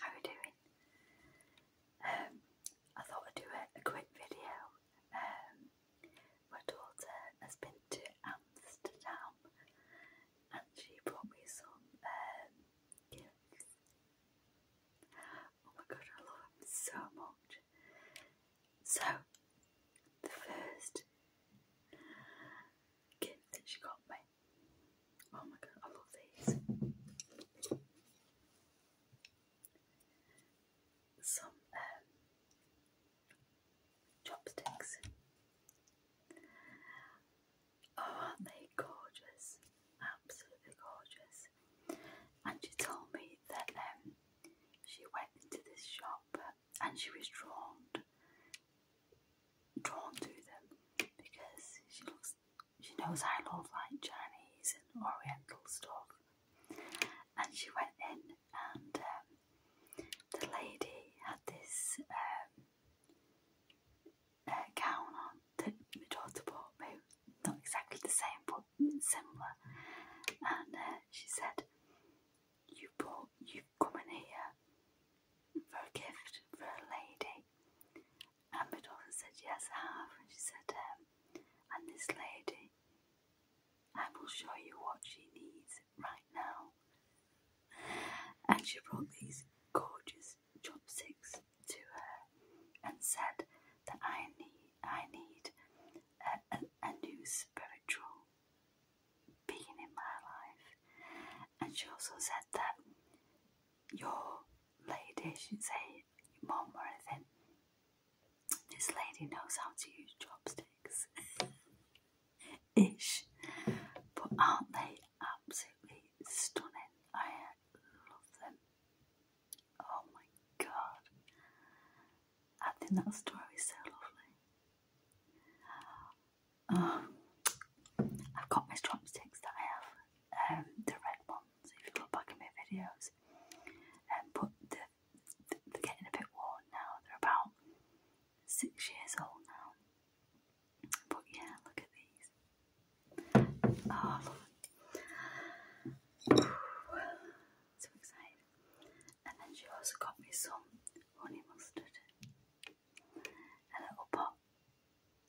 How are you doing? Um, I thought I'd do a, quick video. Um, my daughter has been to Amsterdam and she brought me some um, gifts. Oh my god, I love them so much. So, the first gift that she got me Oh my god, I love these. Some um, chopsticks. Oh, aren't they gorgeous? Absolutely gorgeous. And she told me that um, she went into this shop and she was drawn drawn to them because she looks she knows I love like Chinese and Oriental stuff. And she went in, and um, the lady had this um, uh, gown on that my daughter bought me. Not exactly the same, but similar. And uh, she said, "You bought, you've come in here for a gift for a lady, and said, Yes, I have. And she said um, And this lady, I will show you what she needs right now. And she brought these gorgeous chopsticks to her and said that I need, I need a, a, new spiritual being in my life. And she also said that your lady, she said, your mom or anything. This lady knows how to use chopsticks. Ish. But aren't they absolutely stunning? I love them. Oh my god. I think that story is so lovely. Um, I've got my chopsticks that I have um, the red ones, if you look back at my videos. Um, but they're, getting a bit worn now, they're about six years old now. But yeah, look at these. Oh, look. So excited. And then she also got me some honey mustard. A little pot.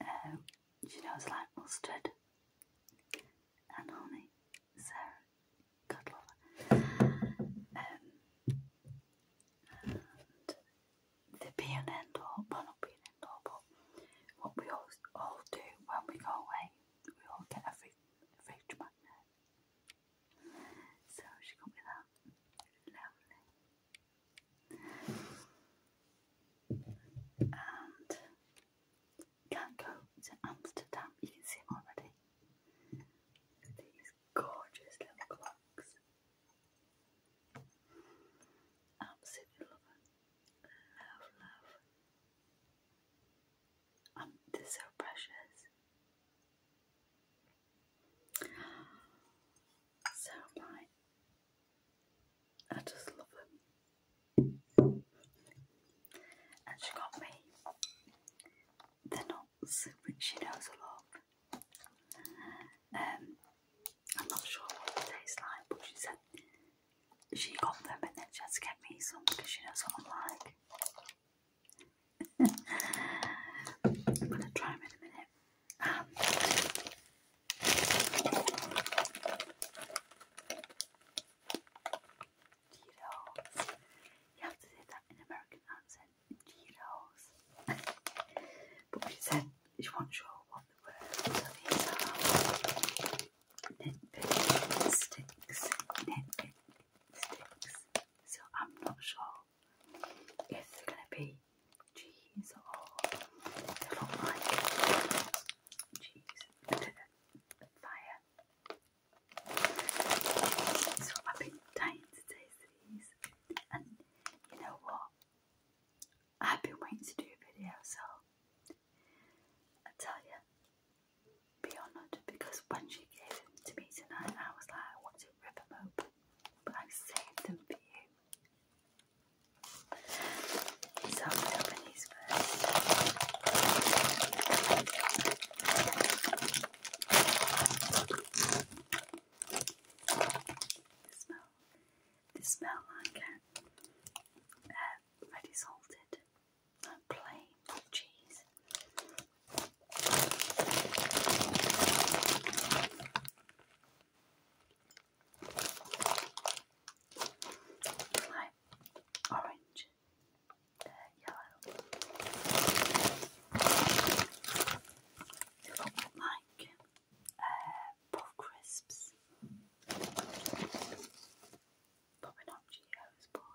Um, she knows like mustard and honey. Sarah, God love her. Um, and the be an end all, not be an end all, but what we all, all do when we go away, we all get a fridge, fridge magnet. So she got me that. Lovely. And can't go to Amsterdam, you can see them already. These gorgeous little clocks. Absolutely love Love, love. Um, they're so precious. So my I just love them. And she got me the nuts, which she knows I love. Um, I'm not sure what it tastes like, but she said she got them and then she get me some because she knows what i like. I'm going to try them in a minute. Um, Cheetos. You to say that in American accent. Cheetos. but she said she not sure what the word are nitpick sticks. Nitpick sticks. So I'm not sure if they're gonna be these are all they look cheese fire. So I've been dying to taste these, and you know what? I've been waiting to do a video, so I tell you, be honoured because when she gave them to me tonight, I was like, I want to rip them open, but I've saved them for you. So I'm going to open these uh, salted plain cheese like orange, yellow. like uh, crisps, but we not Cheetos, but.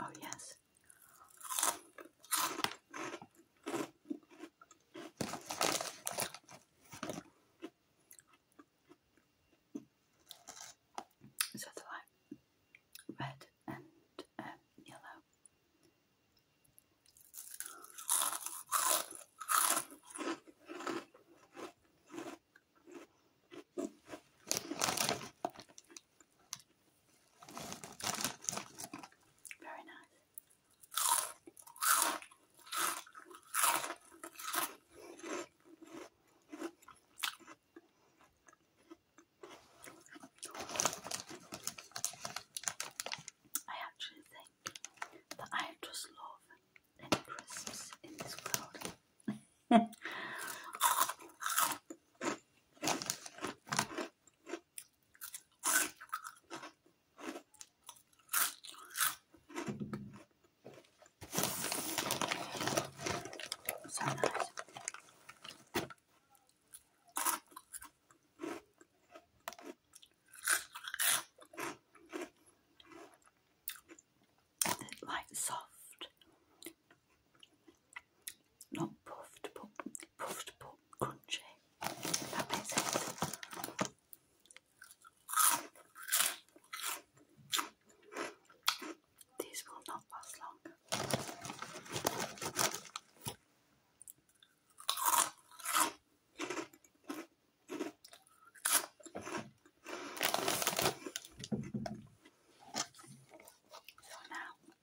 Oh, yes. So they're red and um, yellow. Very nice. I actually think that I just love any in this world so nice. like soft not puffed but puffed but crunchy. These will not last long. So now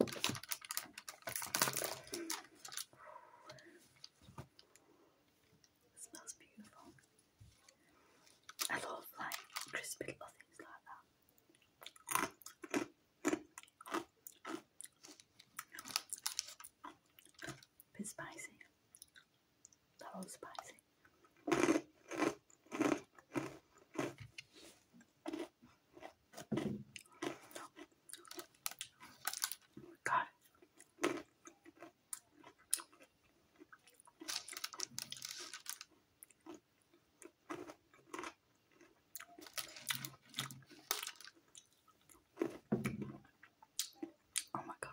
It smells beautiful. I love like crispy little things like that. bit spicy. They're spicy. Got it. Oh my God.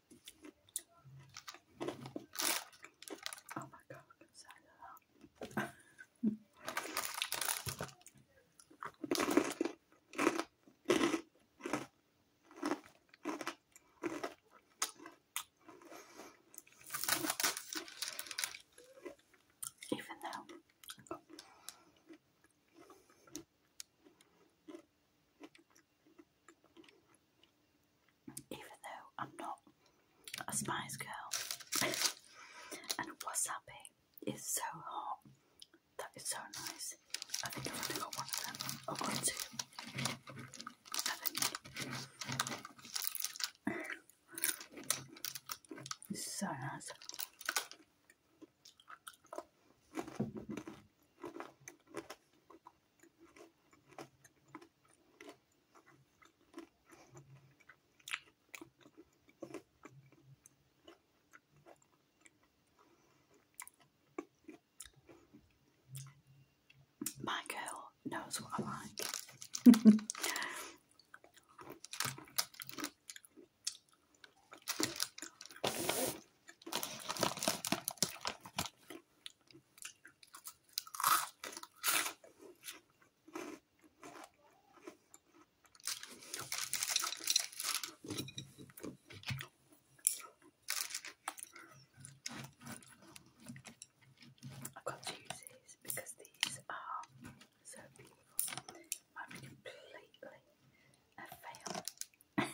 Oh my god, I'm excited. Even though even though I'm not a Spice Girl, and wasabi is so hot. That is so nice. I think I've only got one of them. I've two. so nice. My girl knows what I like. I've got to use these because these are so beautiful. Mine completely a uh, fail.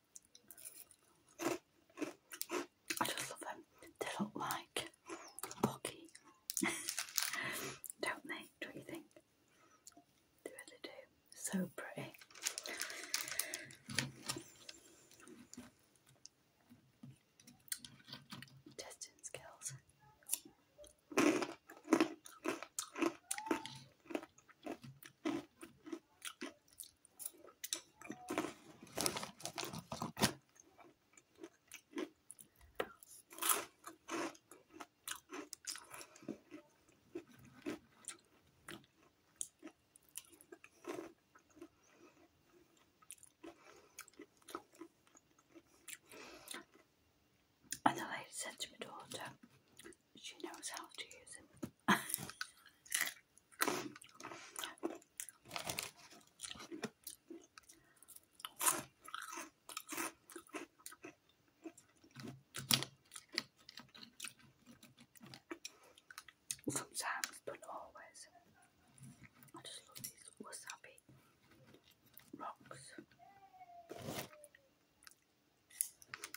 I just love them. They look like Bucky, don't they? Don't you think? They really do. So pretty. Testing skills. And the lady said to my daughter, she knows how to use it. Sometimes, but always. I just love these wasabi rocks.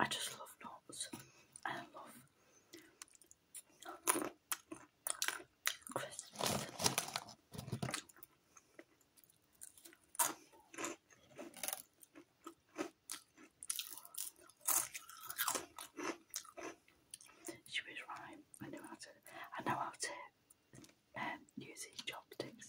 I just love knots I love Christmas. She was right. I know how to. I know how to um, use chopsticks.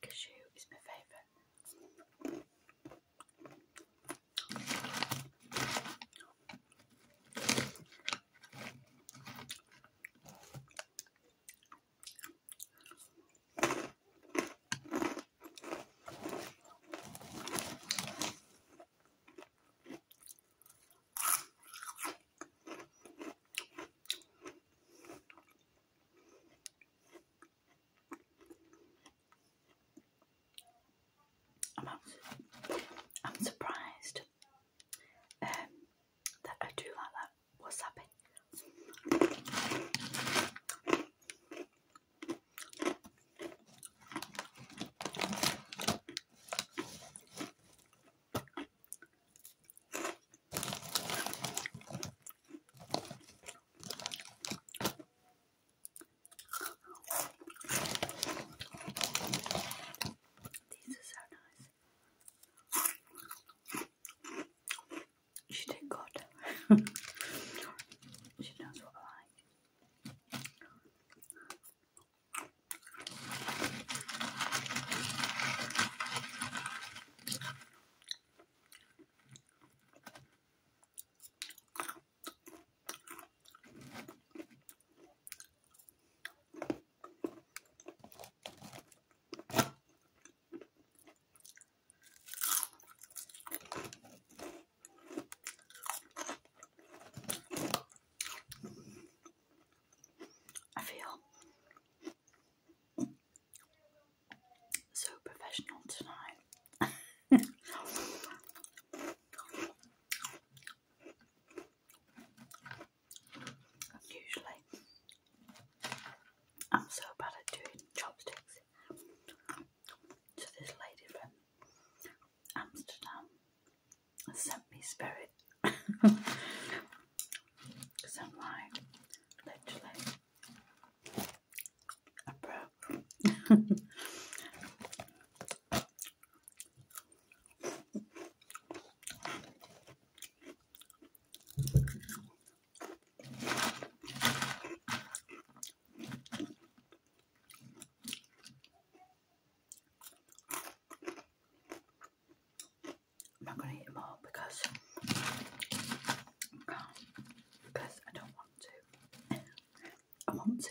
Cashew is my favourite. I'm, I'm surprised um, that I do like that wasabi. These are so nice. She did good. she knows what I like. I feel so professional tonight. Usually, I'm so bad at doing chopsticks. So, this lady from Amsterdam sent me spirit. Cause sunlight, literally. I broke. I'm not going to eat them all because, because I don't want to. I want to.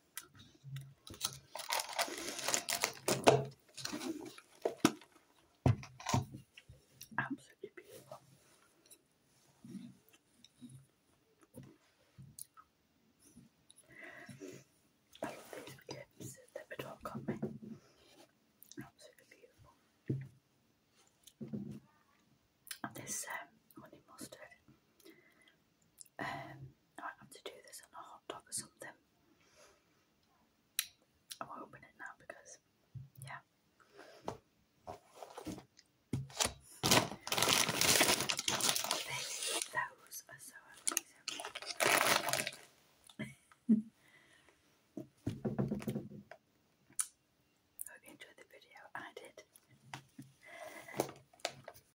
Absolutely beautiful. I love these gifts that my dog got me. Absolutely beautiful. And this um, honey mustard. Um, I have to do this on a hot dog or something. I won't it now because, yeah. These, Hope you enjoyed the video. I did.